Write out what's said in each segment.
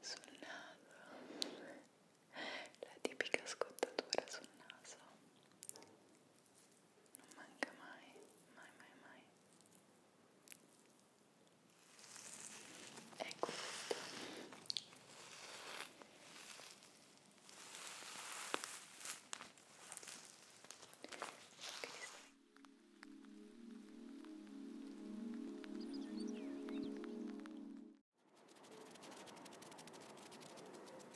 sul naso la tipica scottatura sul naso Manga my, my, my, my. Excellent. Okay.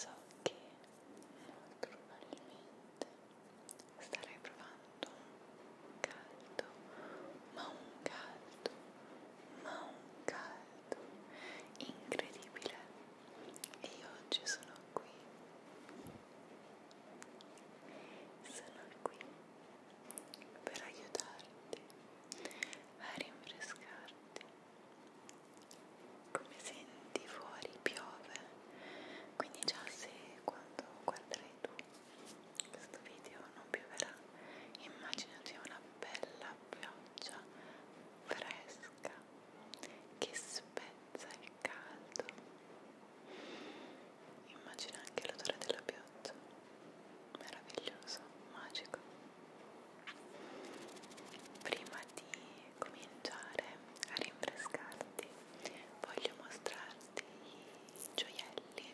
So che molto probabilmente starai provando un caldo, ma un caldo, ma un caldo incredibile. E io oggi sono qui. Sono qui per aiutarti a rinfrescarti. Come senti fuori piove, quindi già se quando guarderai tu questo video non pioverà, immaginati una bella pioggia fresca che spezza il caldo. Immagina anche l'odore della pioggia, meraviglioso, magico prima di cominciare a rinfrescarti voglio mostrarti i gioielli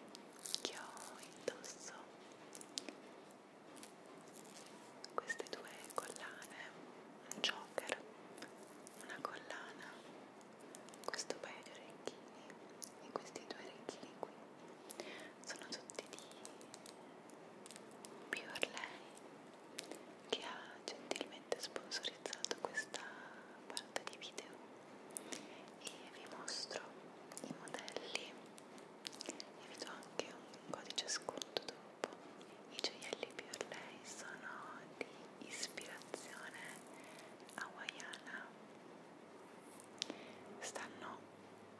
che ho indosso queste due collane un joker una collana questo paio di orecchini e questi due orecchini qui sono tutti di Pure Lei che ha gentilmente sponsorizzato questa parte di video e vi mostro i modelli e vi do anche un codice sconto dopo i gioielli Pure Lei sono di ispirazione hawaiana stanno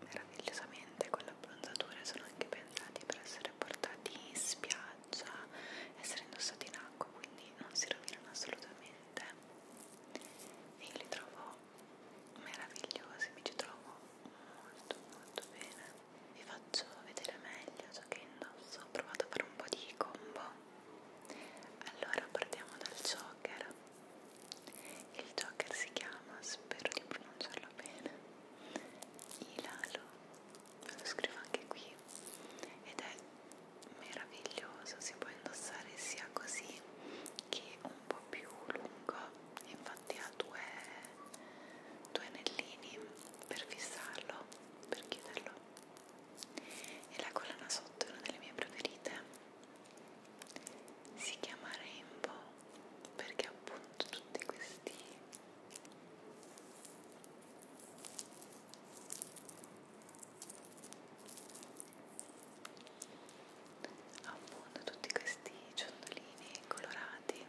meravigliosamente con la bronzatura sono anche pensati per essere portati in spiaggia, essere indossati in acqua, quindi non si rovinano assolutamente. E io li trovo meravigliosi, mi ci trovo molto molto bene. Vi faccio vedere meglio ciò che indosso, ho provato a fare un po' di combo. Allora partiamo dal choker il Joker si chiama, spero di pronunciarlo bene, Ilalo, lo scrivo anche qui ed è meraviglioso, si può indossare sia così che un po' più lungo, infatti ha due, due anellini per fissarlo, per chiuderlo e la collana sotto è una delle mie preferite si chiama Rainbow perché appunto tutti questi appunto tutti questi ciondolini colorati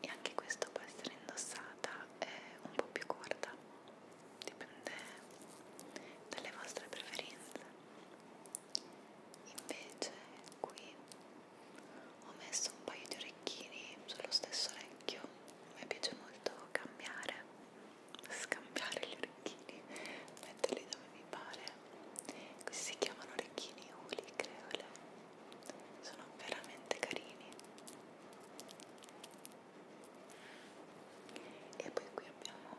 e anche questo può essere indossata eh, un po' più corta dipende dalle vostre preferenze invece qui ho messo un paio di orecchini sullo stesso orecchio mi piace molto cambiare scambiare gli orecchini metterli dove mi pare questi si chiamano orecchini uli creole sono veramente carini e poi qui abbiamo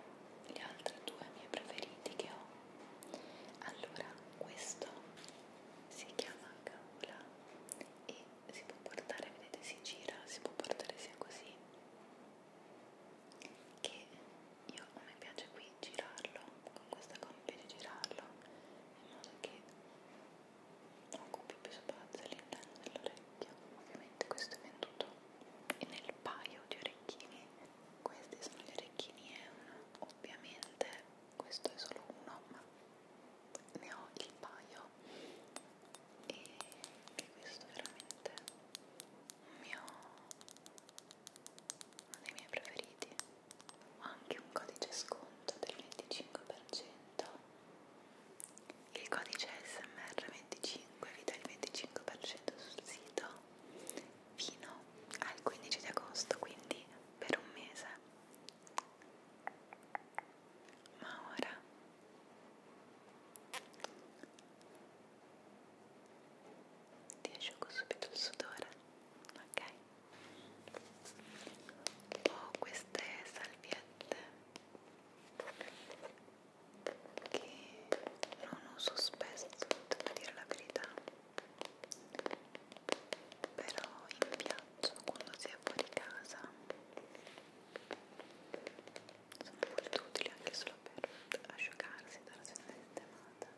le altre due mie preferiti che ho allora questo si chiama gaula e si può portare vedete si gira si può portare sia così che io a me piace qui girarlo con questa compia di girarlo in modo che occupi più spazio all'interno dell'orecchio ovviamente questo è venduto nel paio di orecchini questi sono gli orecchini Eun ovviamente questo è solo uno ma ne ho il paio e, e questo è veramente un mio uno dei miei preferiti ho anche un codice sconto del 25% il codice SMR25 vi dà il 25% sul sito fino al 15 di agosto, quindi per un mese. Ma ora ti asciugo subito il sudore, ok? Ho queste salviette che non uso spesso, devo dire la verità però in piazza quando si è fuori casa sono molto utili anche solo per asciugarsi dalla sua sistemata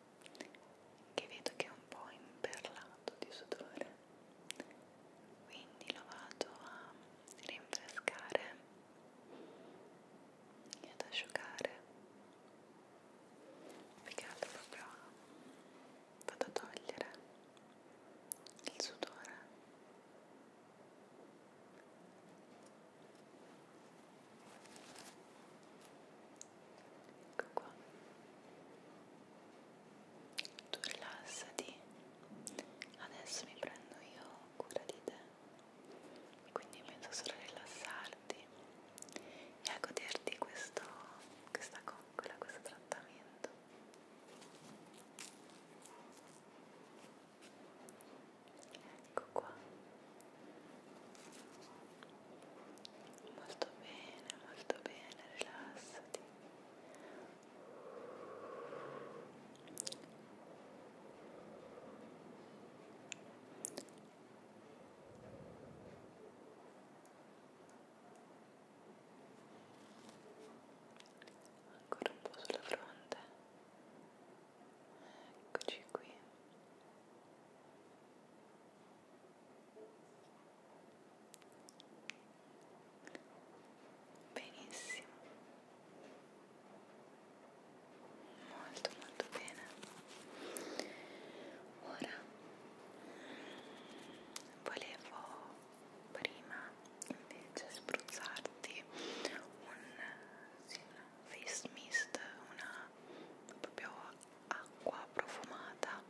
che vedo che è un po' imperlato di sudore quindi lo vado a rinfrescare e ad asciugare perché altro proprio vado a togliere il sudore ecco qua tu rilassati adesso mi prendo io cura di te quindi penso solo a rilassarti e a goderti questo, questa coccola, questo trattamento ecco qua Molto bene, molto bene, rilassati. Ancora un po' sulla fronte. Eccoci qui. Benissimo. Molto molto bene. Ora volevo prima invece spruzzarti un, sì, una face mist, una proprio acqua profumata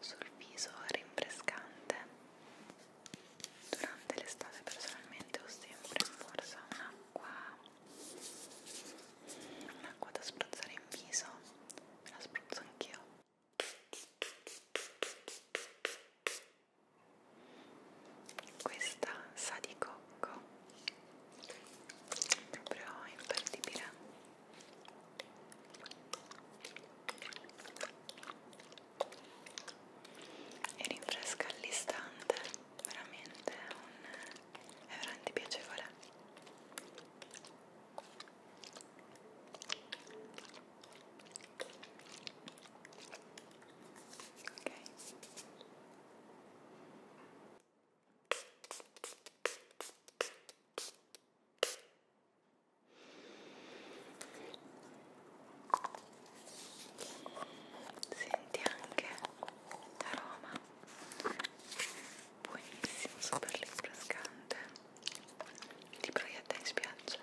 sul viso rinfrescante durante l'estate personalmente ho sempre in borsa un'acqua un'acqua da spruzzare in viso me la spruzzo anch'io questa sa di cocco proprio imperdibile e rinfresca all'istante veramente è, un, è veramente piacevole ok Senti anche l'aroma, buonissimo, super rinfrescante. Ti proietta in spiaggia.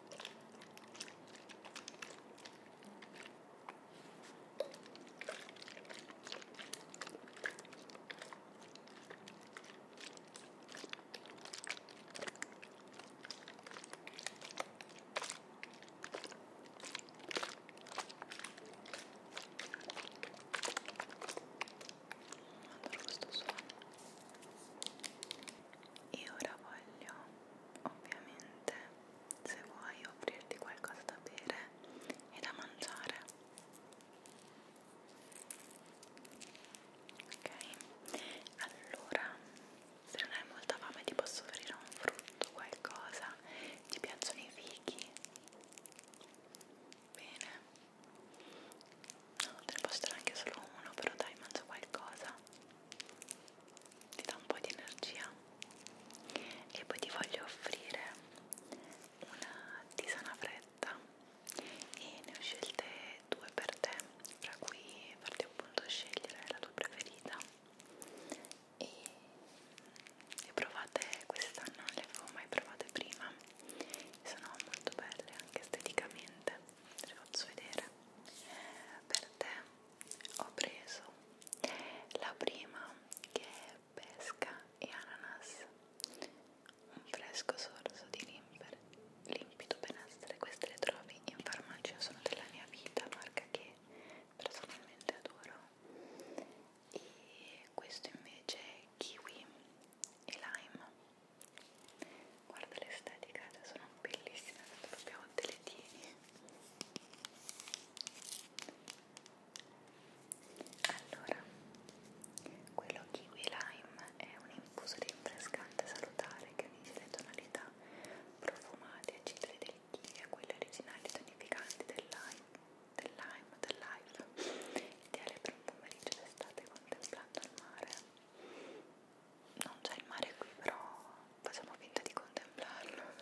Adoro questo suono. E ora voglio ovviamente se vuoi offrirti qualcosa da bere e da mangiare ok allora se non hai molta fame ti posso offrire un frutto qualcosa ti piacciono i fichi bene no te ne posso dare anche solo uno però dai mangia qualcosa ti dà un po' di energia e poi ti voglio offrire una tisana fredda e ne ho scelte due per te fra cui farti appunto scegliere la tua preferita e, e provate questa non le avevo mai provate prima sono molto belle anche esteticamente te le faccio vedere per te ho preso la prima che è pesca e ananas un fresco sorso di limper, limpido benessere queste le trovi in farmacia sono della mia vita marca che personalmente adoro e questo invece è kiwi e lime guarda l'estetica sono bellissime proprio te le tieni allora quello kiwi lime è un infuso di rinfrescante salutare che unisce le tonalità profumate e acidere del kiwi a quelle originali tonificanti del lime del lime del live ideale per un pomeriggio d'estate contemplando il mare non c'è il mare qui però facciamo finta di contemplarlo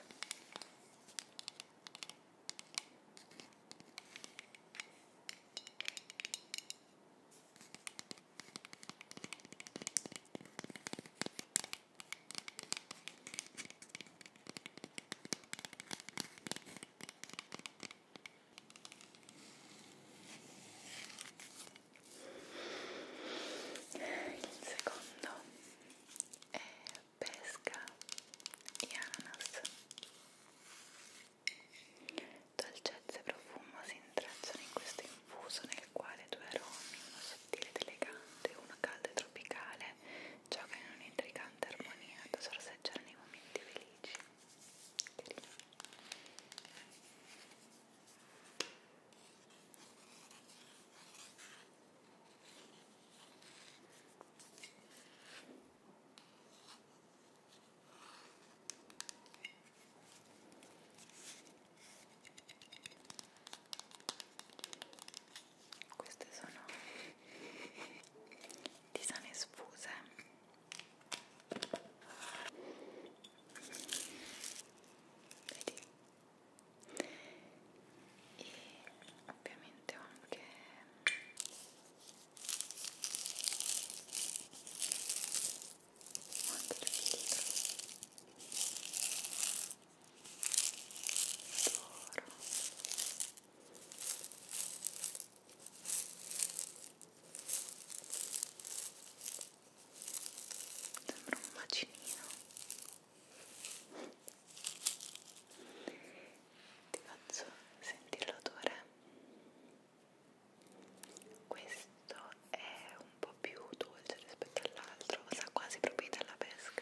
il secondo è pesca e ananas dolcezza e profumo si intrecciano in questo infuso nel quale due aromi, uno sottile ed elegante e uno caldo e tropicale giocano in un'intrigante armonia da sorseggiare nei momenti felici Carino. Queste sono tisane sfuse vedi e ovviamente ho anche ho anche il filtro d'oro sembra un macinino ti faccio sentire l'odore questo è un po' più dolce rispetto all'altro sa quasi proprio della pesca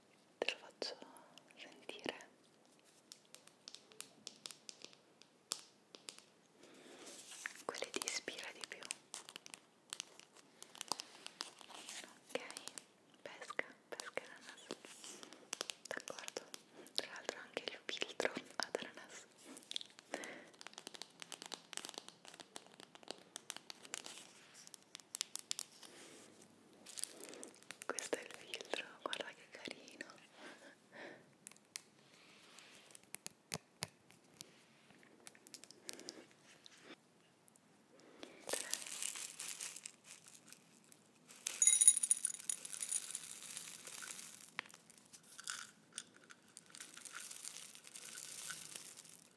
te lo faccio sentire quale ti ispira di più ok pesca pesca ananas d'accordo tra l'altro anche il filtro ad ananas questo è il filtro guarda che carino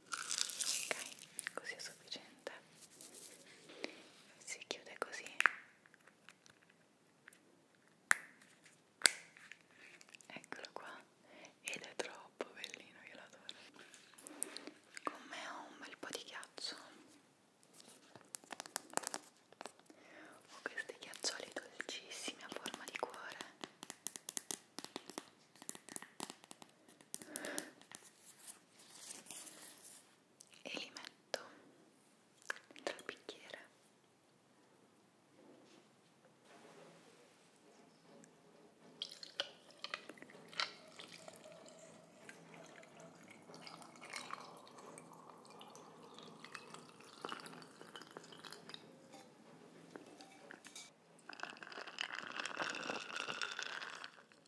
ok così è sufficiente si chiude così eccolo qua ed è troppo bellino io l'adoro con me ho un bel po' di ghiaccio ho questi ghiaccioli dolcissimi a forma di cuore e li metto dentro il bicchiere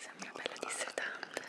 Sembra bella dissetante.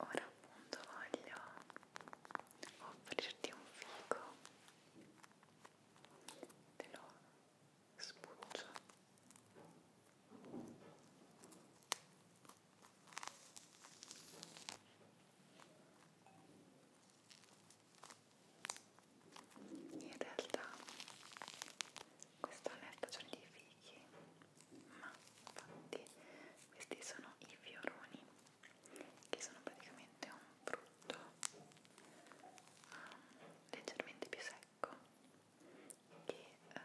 Ora appunto voglio offrirti un fico, te lo spuccio. In realtà questa è un'estagione di fichi, ma infatti questi sono i fioroni, che sono praticamente un frutto um, leggermente più secco che eh,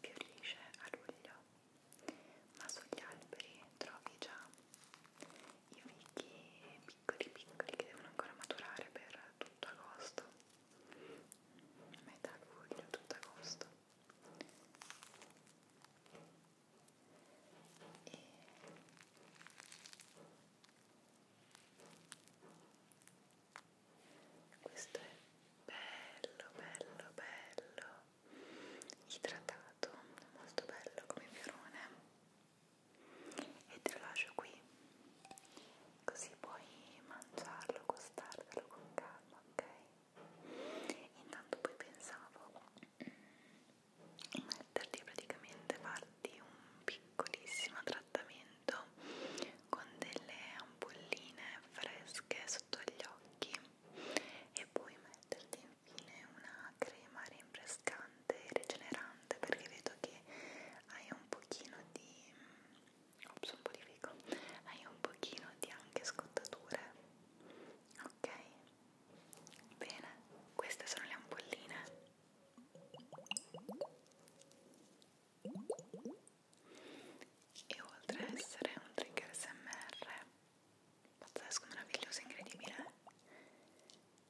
fiorisce a luglio ma sugli alberi trovi già i fichi piccoli piccoli che devono ancora maturare per tutto agosto metà luglio, tutto agosto e questo è bello bello bello idratato molto bello come fiorone e te lo lascio qui così puoi mangiarlo gustartelo con calma ok intanto poi pensavo mm, metterti praticamente farti un piccolissimo trattamento con delle ampolline fresche sotto gli occhi e poi metterti infine una crema rinfrescante e rigenerante perché vedo che hai un pochino di ops un po' di fico hai un pochino di anche scottature ok bene queste sono le ampolline e oltre a essere un trigger SMR pazzesco, meraviglioso, incredibile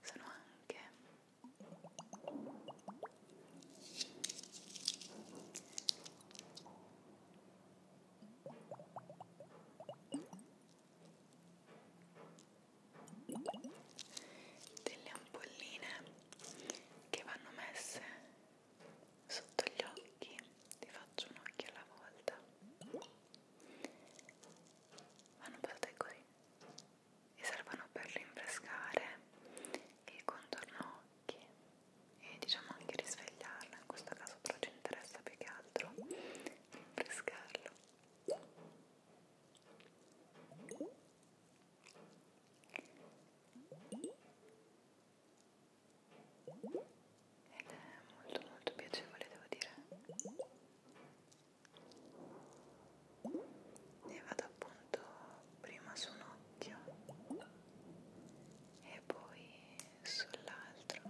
sono anche delle ampolline che vanno messe sotto gli occhi ti faccio un occhio alla volta vanno posate così e servono per rinfrescare il contorno occhi e diciamo anche risvegliarlo in questo caso però ci interessa più che altro rinfrescarlo ed è molto molto piacevole devo dire ne vado appunto prima su un occhio e poi sull'altro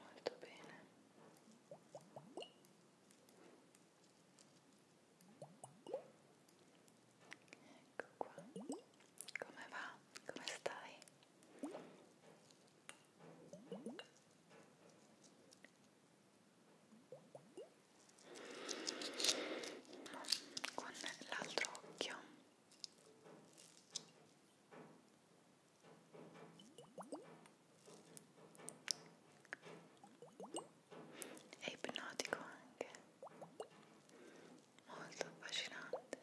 Molto bene. Ecco qua. Come va? Come stai? uno con l'altro occhio è ipnotico anche molto affascinante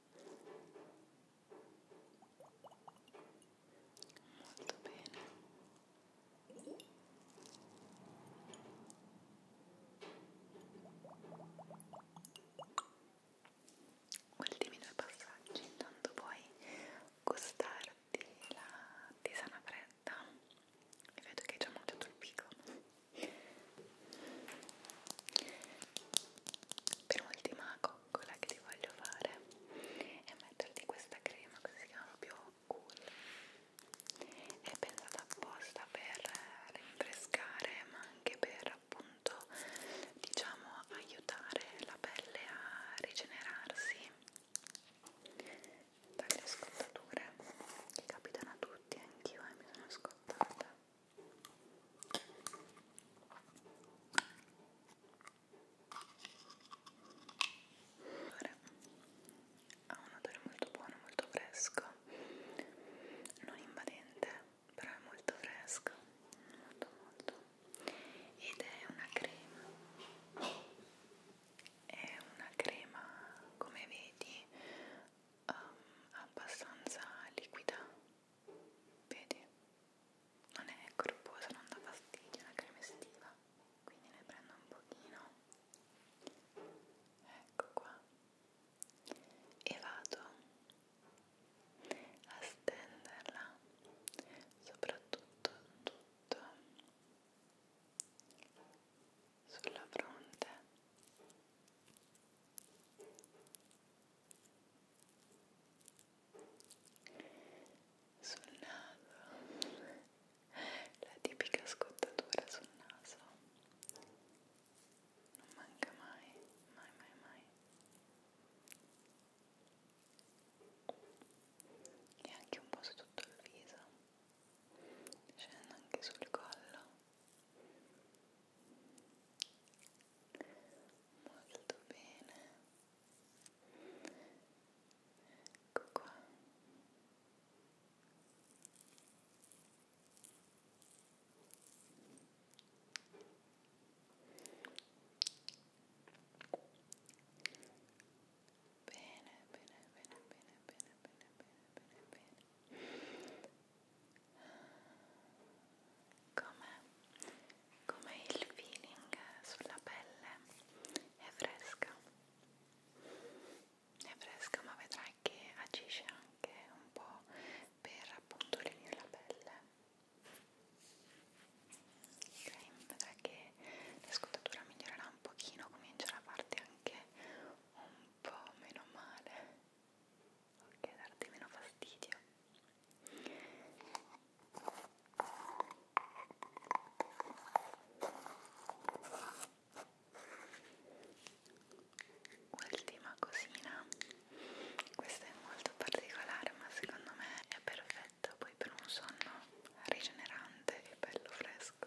Molto bene. Ultimi due passaggi, intanto puoi gustarti la tisana fredda e vedo che hai già mangiato il pico per ultima coccola che ti voglio fare è metterti questa crema che si chiama più cool. È pensata apposta per rinfrescare ma anche per appunto diciamo aiutare la pelle a rigenerarsi dalle scottature che capitano a tutti, anch'io eh, mi sono scottata ha un odore molto buono, molto fresco non invadente però è molto fresco molto molto ed è una crema è una crema come vedi um, abbastanza liquida vedi non è corposa non dà fastidio è una crema estiva quindi ne prendo un pochino ecco qua e vado a stenderla soprattutto tutto sulla fronte sul naso la tipica scottatura sul naso non manca mai mai mai mai e anche un po' su tutto il viso scende anche sul collo molto bene ecco qua Bene, bene, bene, bene, bene, bene, bene, bene, bene come, come il feeling sulla pelle è fresca è fresca ma vedrai che agisce anche un po' per appunto lenire la pelle ok, vedrai che la scottatura migliorerà un pochino comincerà a farti anche un po' meno male ok, darti meno fastidio ultima cosina questa è molto particolare ma secondo me è perfetta poi per un sonno rigenerante e bello fresco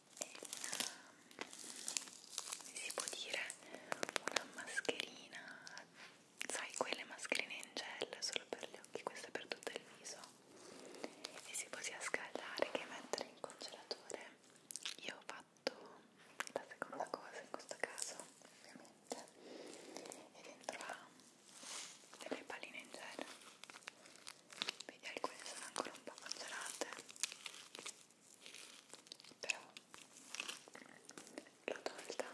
e una, si può dire, una mascherina, sai quelle mascherine in gel solo per gli occhi, questa per tutto il viso e si può sia scaldare che mettere in congelatore io ho fatto la seconda cosa in questo caso, ovviamente e dentro ha delle palline in gel vedi alcune sono ancora un po' congelate però l'ho tolta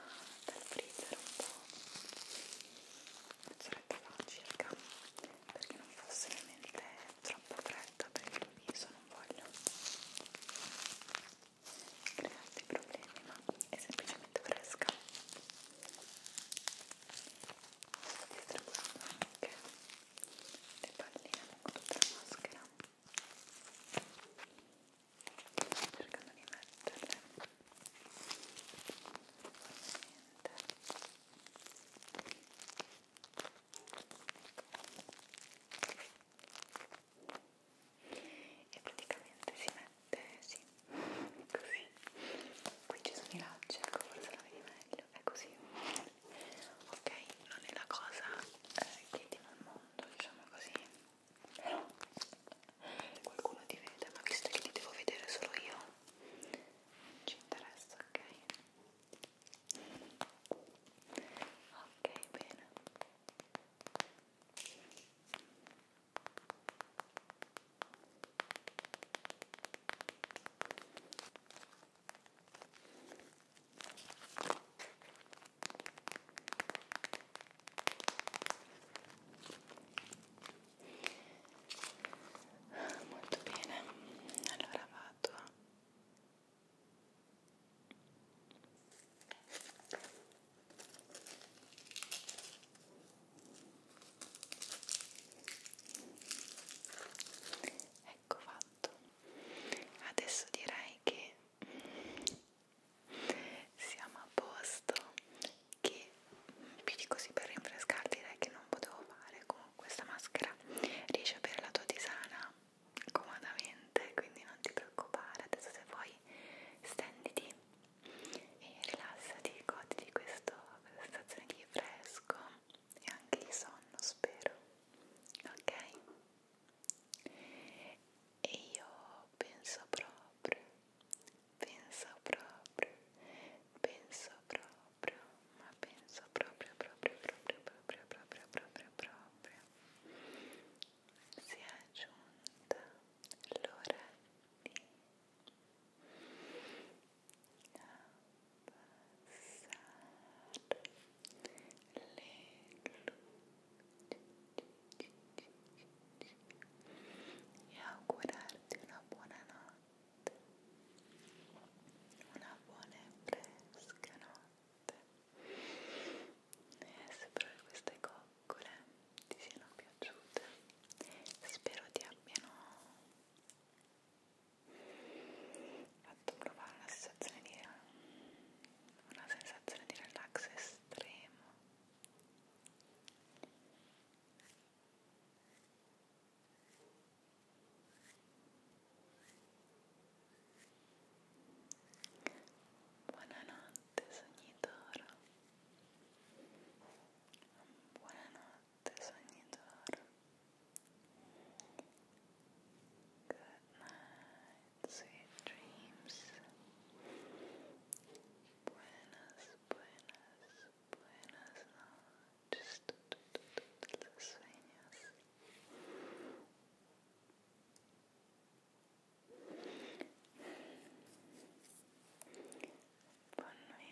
dal freezer un po' mezz'oretta fa circa perché non fosse ovviamente troppo fredda per il mio viso non voglio crearti problemi ma è semplicemente fresca distribuendo anche le palline con tutta la maschera cercando di metterle normalmente e praticamente si mette sì, così qui ci sono i lacci, ecco forse la vedi meglio video è così ok non è la cosa eh, che ti va al mondo diciamo così però qualcuno ti vede ma visto che ti devo vedere solo io non ci interessa ok ok bene Molto bene, allora vado a ecco fatto adesso direi che mm, siamo a posto che mm, più di così per rinfrescarti direi che non potevo fare con questa maschera riesci a bere la tua tisana comodamente quindi non ti preoccupare adesso se vuoi stenditi e rilassati goditi questa sensazione di fresco e anche di sonno spero ok e io penso proprio penso proprio penso proprio ma penso proprio proprio proprio proprio proprio proprio proprio si è giunta l'ora di e augurarti una buona notte, una buona e fresca notte eh, e spero che queste coccole ti siano piaciute spero ti abbiano fatto provare una sensazione di una sensazione di relax estremo buonanotte sognitoro buonanotte sonidor. Good night, sweet dreams. Buenas, buenas, buenas noches. Los sueños. Ponme